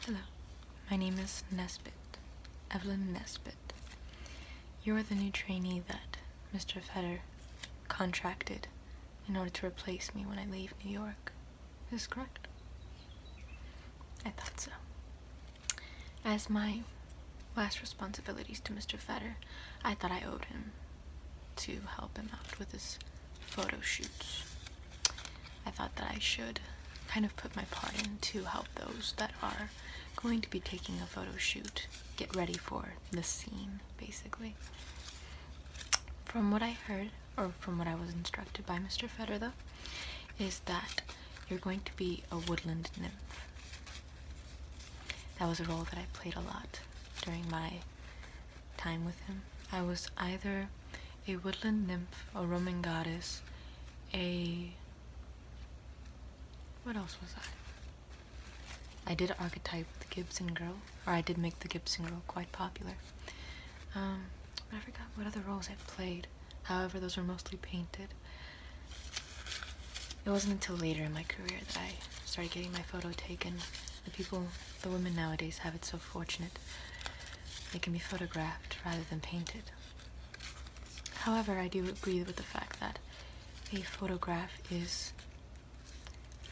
Hello. My name is Nesbitt, Evelyn Nesbitt. You're the new trainee that Mr. Fetter contracted in order to replace me when I leave New York. Is this correct? I thought so. As my last responsibilities to Mr. Fetter, I thought I owed him to help him out with his photo shoots. I thought that I should kind of put my part in to help those that are going to be taking a photo shoot get ready for the scene, basically. From what I heard, or from what I was instructed by Mr. Fetter, though, is that you're going to be a woodland nymph. That was a role that I played a lot during my time with him. I was either a woodland nymph, a Roman goddess, a. What else was I? I did archetype the Gibson girl, or I did make the Gibson girl quite popular. Um, I forgot what other roles I played. However, those were mostly painted. It wasn't until later in my career that I started getting my photo taken. The people, the women nowadays, have it so fortunate. They can be photographed rather than painted. However, I do agree with the fact that a photograph is,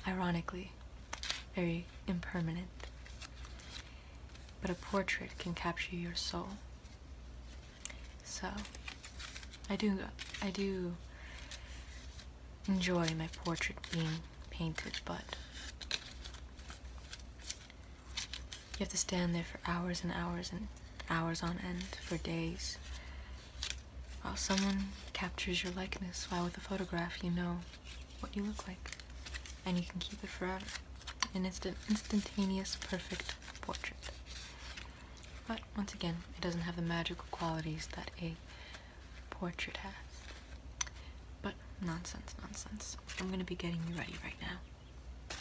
ironically, very impermanent. But a portrait can capture your soul. So I do I do enjoy my portrait being painted, but you have to stand there for hours and hours and hours on end for days while someone captures your likeness while with a photograph you know what you look like and you can keep it forever and it's an instantaneous perfect portrait but once again, it doesn't have the magical qualities that a portrait has. But nonsense, nonsense. I'm gonna be getting you ready right now.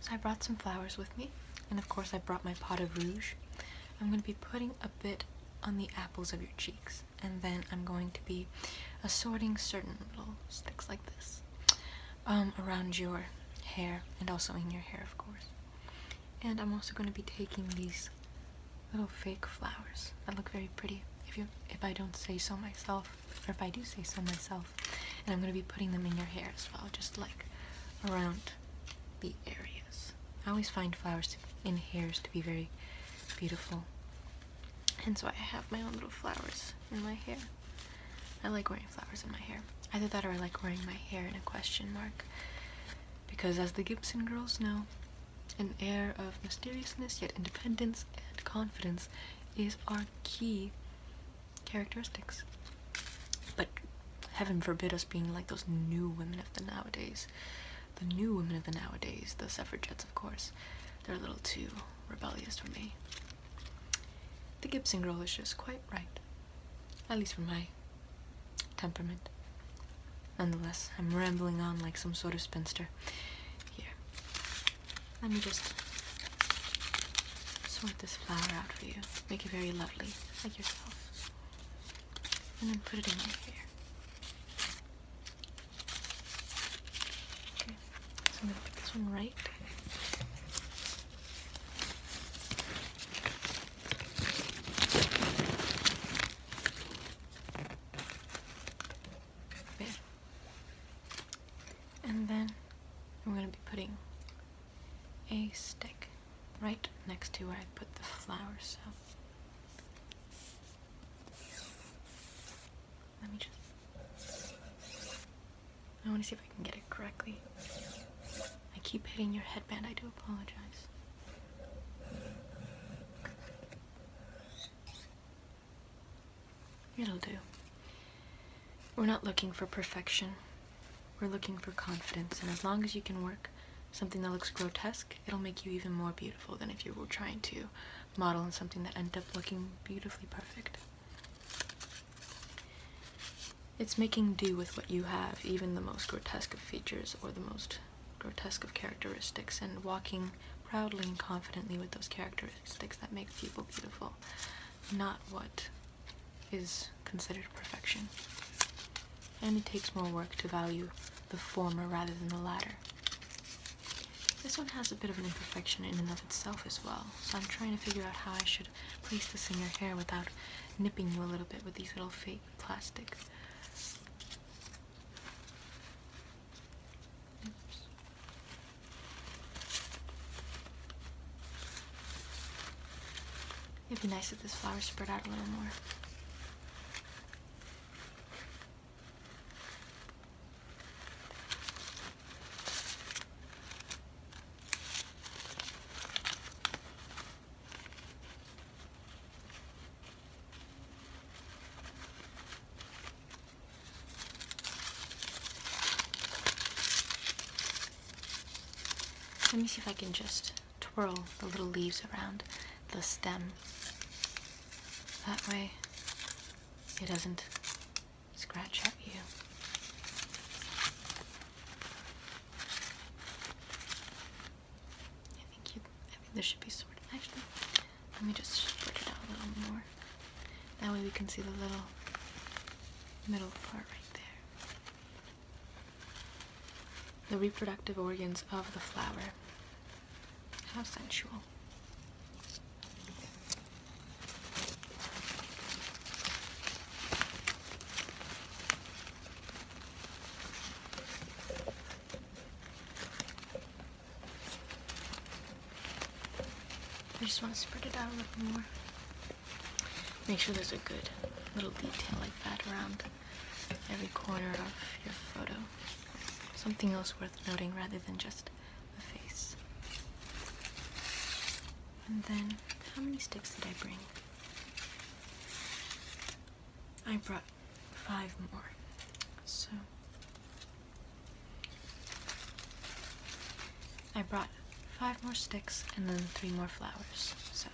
So I brought some flowers with me, and of course I brought my pot of rouge. I'm gonna be putting a bit on the apples of your cheeks, and then I'm going to be assorting certain little sticks like this um, around your hair, and also in your hair, of course. And I'm also going to be taking these little fake flowers that look very pretty. If you, if I don't say so myself, or if I do say so myself, and I'm going to be putting them in your hair as well, just like around the areas. I always find flowers to, in hairs to be very beautiful, and so I have my own little flowers in my hair. I like wearing flowers in my hair. Either that or I like wearing my hair in a question mark. Because as the Gibson girls know, an air of mysteriousness yet independence and confidence is our key characteristics. But heaven forbid us being like those new women of the nowadays. The new women of the nowadays, the suffragettes of course, they're a little too rebellious for me. The Gibson girl is just quite right. At least for my temperament. Nonetheless, I'm rambling on like some sort of spinster. Here, let me just sort this flower out for you. Make it very lovely, like yourself. And then put it in here. Okay, so I'm gonna put this one right and then I'm going to be putting a stick right next to where I put the flower, so let me just I want to see if I can get it correctly. I keep hitting your headband. I do apologize. It'll do. We're not looking for perfection. We're looking for confidence, and as long as you can work something that looks grotesque, it'll make you even more beautiful than if you were trying to model on something that ended up looking beautifully perfect. It's making do with what you have, even the most grotesque of features or the most grotesque of characteristics, and walking proudly and confidently with those characteristics that make people beautiful, not what is considered perfection. And it takes more work to value the former rather than the latter. This one has a bit of an imperfection in and of itself as well, so I'm trying to figure out how I should place this in your hair without nipping you a little bit with these little fake plastics. It'd be nice if this flower spread out a little more. Let me see if I can just twirl the little leaves around the stem. That way it doesn't scratch at you. I think you, I think this should be sorted. Actually, let me just put it out a little more. That way we can see the little middle part right there. The reproductive organs of the flower. How sensual. I just want to spread it out a little more. Make sure there's a good little detail like that around every corner of your photo. Something else worth noting rather than just the face. And then, how many sticks did I bring? I brought five more, so I brought five more sticks and then three more flowers. So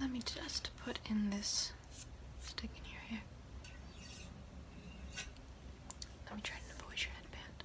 let me just put in this stick in here. hair. Let me try to avoid your headband.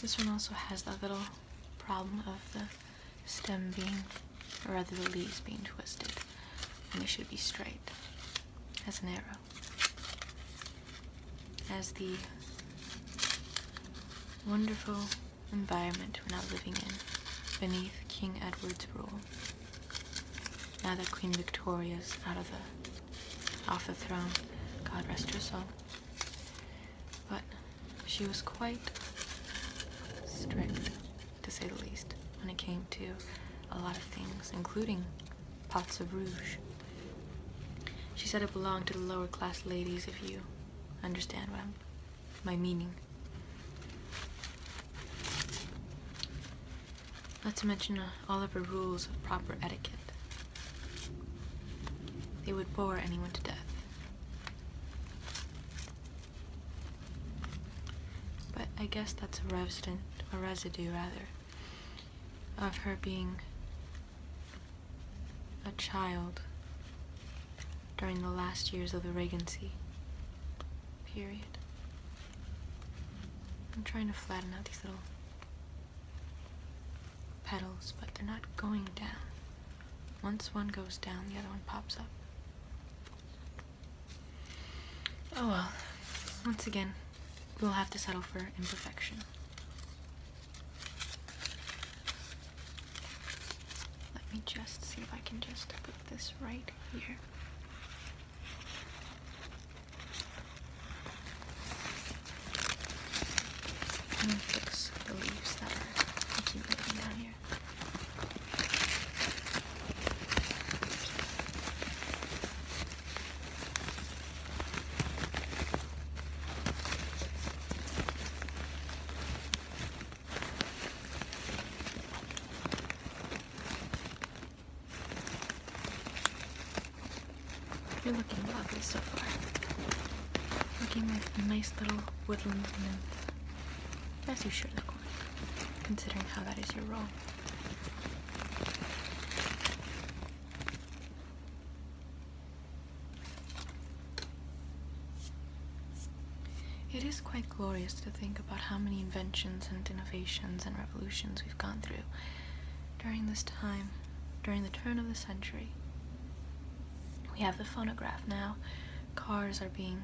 This one also has that little problem of the stem being, or rather the leaves being twisted, and they should be straight as an arrow. As the wonderful environment we're now living in beneath King Edward's rule. Now that Queen Victoria's out of the off the throne, God rest her soul. But she was quite strict, to say the least, when it came to a lot of things, including pots of rouge. She said it belonged to the lower class ladies, if you understand what my meaning. Not to mention uh, all of her rules of proper etiquette, they would bore anyone to death. But I guess that's a resident, a residue rather, of her being a child during the last years of the Regency period. I'm trying to flatten out these little petals, but they're not going down. Once one goes down, the other one pops up. Oh well, once again, we'll have to settle for imperfection. Let me just see if I can just put this right here. I'm gonna fix the leaves that are accumulating down here. You're looking lovely so far. Looking like a nice little woodland nymph. As you should look considering how that is your role. It is quite glorious to think about how many inventions and innovations and revolutions we've gone through during this time, during the turn of the century. We have the phonograph now. Cars are being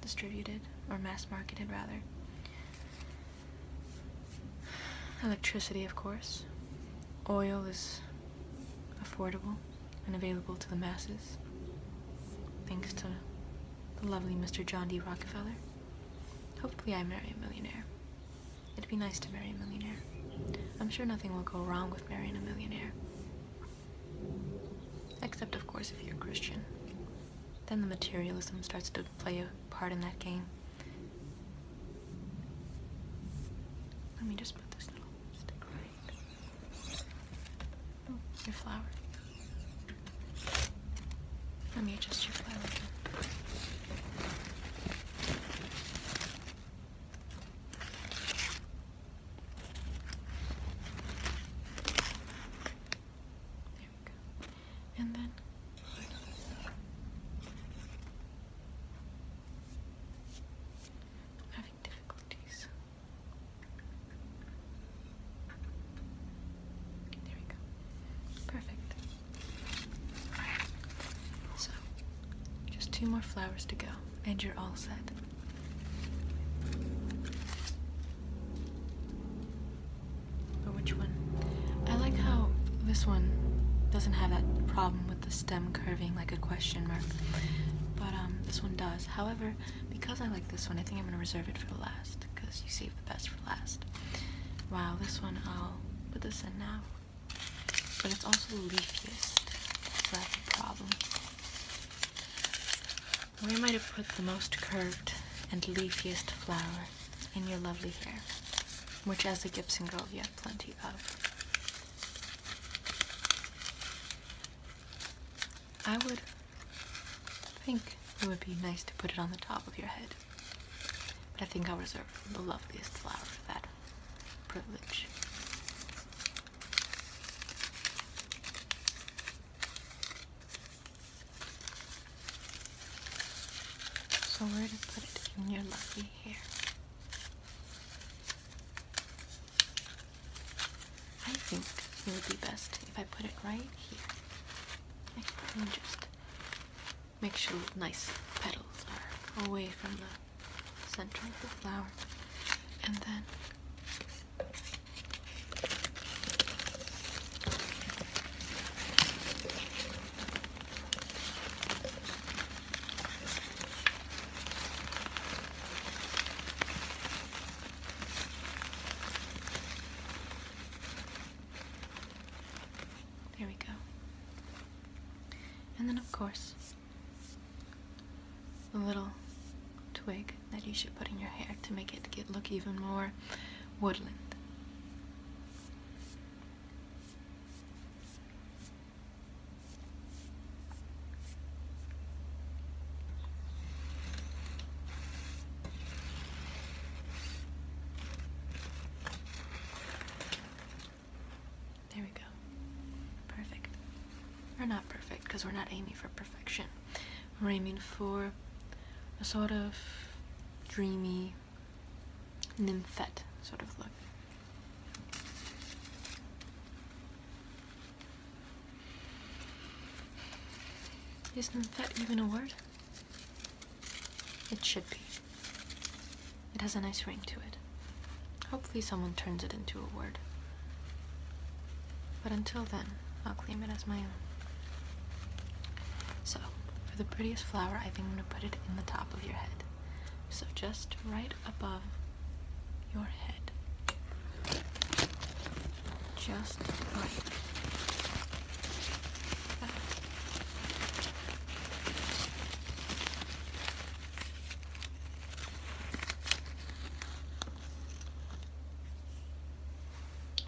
distributed, or mass marketed rather. Electricity, of course. Oil is affordable and available to the masses, thanks to the lovely Mr. John D. Rockefeller. Hopefully I marry a millionaire. It'd be nice to marry a millionaire. I'm sure nothing will go wrong with marrying a millionaire. Except, of course, if you're a Christian. Then the materialism starts to play a part in that game. Let me just put this little stick right. Oh, your flower. Let me adjust your flower and then having difficulties. There we go. Perfect. So, just two more flowers to go, and you're all set. But which one? I like how this one doesn't have that problem with the stem curving like a question mark. But um, this one does. However, because I like this one, I think I'm going to reserve it for the last, because you save the best for last. Wow, this one, I'll put this in now. But it's also leafiest, so that's a problem. Where might have put the most curved and leafiest flower in your lovely hair? Which as a Gibson girl you have plenty of. I would think it would be nice to put it on the top of your head. But I think I'll reserve the loveliest flower for that privilege. So where to put it in your lovely hair? I think it would be best if I put it right here. I can just Make sure nice petals are away from the center of the flower. And then There we go. And then, of course, the little twig that you should put in your hair to make it get, look even more woodland. There we go. Perfect. Or not perfect, because we're not aiming for perfection. We're aiming for a sort of dreamy, nymphette sort of look. Is nymphette even a word? It should be. It has a nice ring to it. Hopefully, someone turns it into a word. But until then, I'll claim it as my own. So, for the prettiest flower, I think I'm going to put it in the top of your head. So, just right above your head. Just right.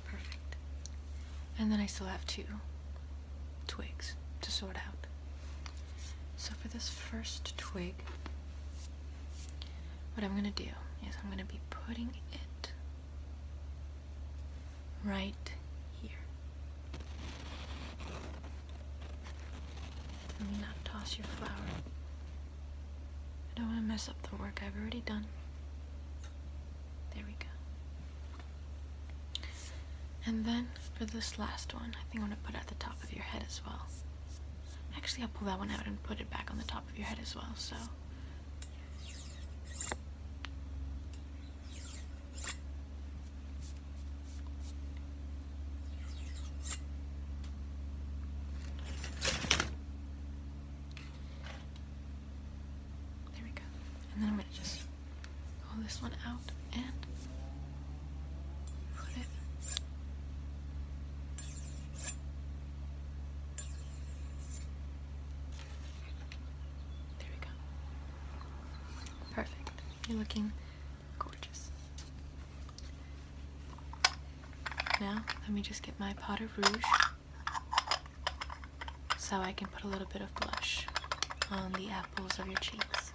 Perfect. And then I still have two twigs to sort out. So for this first twig, what I'm going to do is I'm going to be putting it right here. Let me not toss your flower. I don't want to mess up the work I've already done. There we go. And then for this last one, I think I'm going to put it at the top of your head as well. Actually, I'll pull that one out and put it back on the top of your head as well, so. There we go. And then I'm going to just pull this one out and put it there we go. Perfect. You're looking now, let me just get my pot of rouge so I can put a little bit of blush on the apples of your cheeks.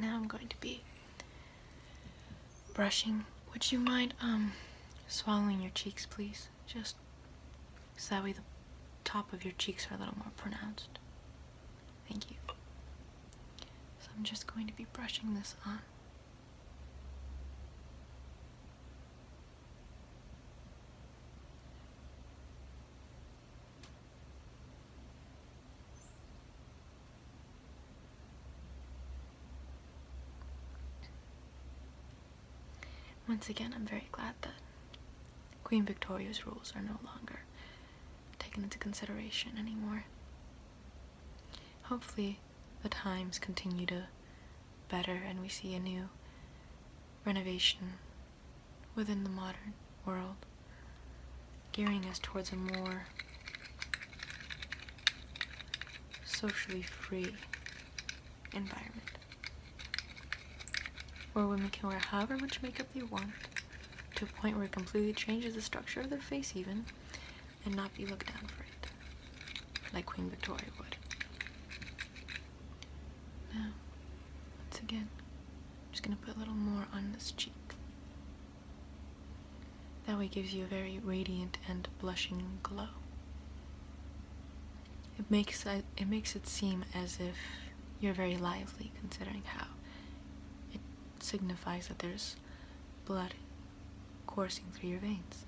Now I'm going to be brushing. Would you mind um swallowing your cheeks, please? just so that way the top of your cheeks are a little more pronounced. Thank you. So I'm just going to be brushing this on. Once again, I'm very glad that Queen Victoria's rules are no longer taken into consideration anymore. Hopefully, the times continue to better and we see a new renovation within the modern world, gearing us towards a more socially free environment where women can wear however much makeup they want to a point where it completely changes the structure of their face even and not be looked down for it like Queen Victoria would. Now, once again, I'm just gonna put a little more on this cheek. That way gives you a very radiant and blushing glow it makes it makes it seem as if you're very lively considering how it signifies that there's blood coursing through your veins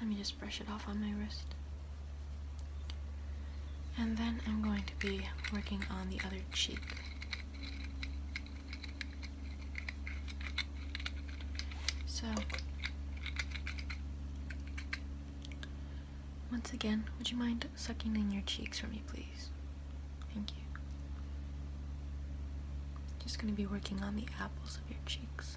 let me just brush it off on my wrist and then I'm going to be working on the other cheek. So, once again, would you mind sucking in your cheeks for me, please? Thank you. Just going to be working on the apples of your cheeks.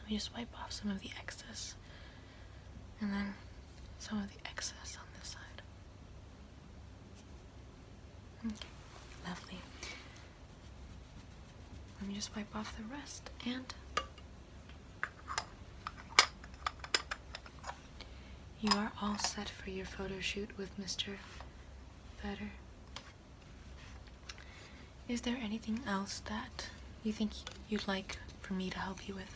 Let me just wipe off some of the excess and then some of the excess on this side. Okay, lovely. Let me just wipe off the rest and you are all set for your photo shoot with Mr better. Is there anything else that you think you'd like for me to help you with?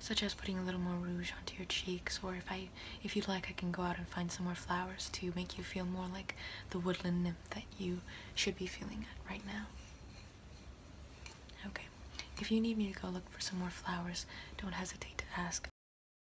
Such as putting a little more rouge onto your cheeks, or if I, if you'd like, I can go out and find some more flowers to make you feel more like the woodland nymph that you should be feeling right now. Okay. If you need me to go look for some more flowers, don't hesitate to ask.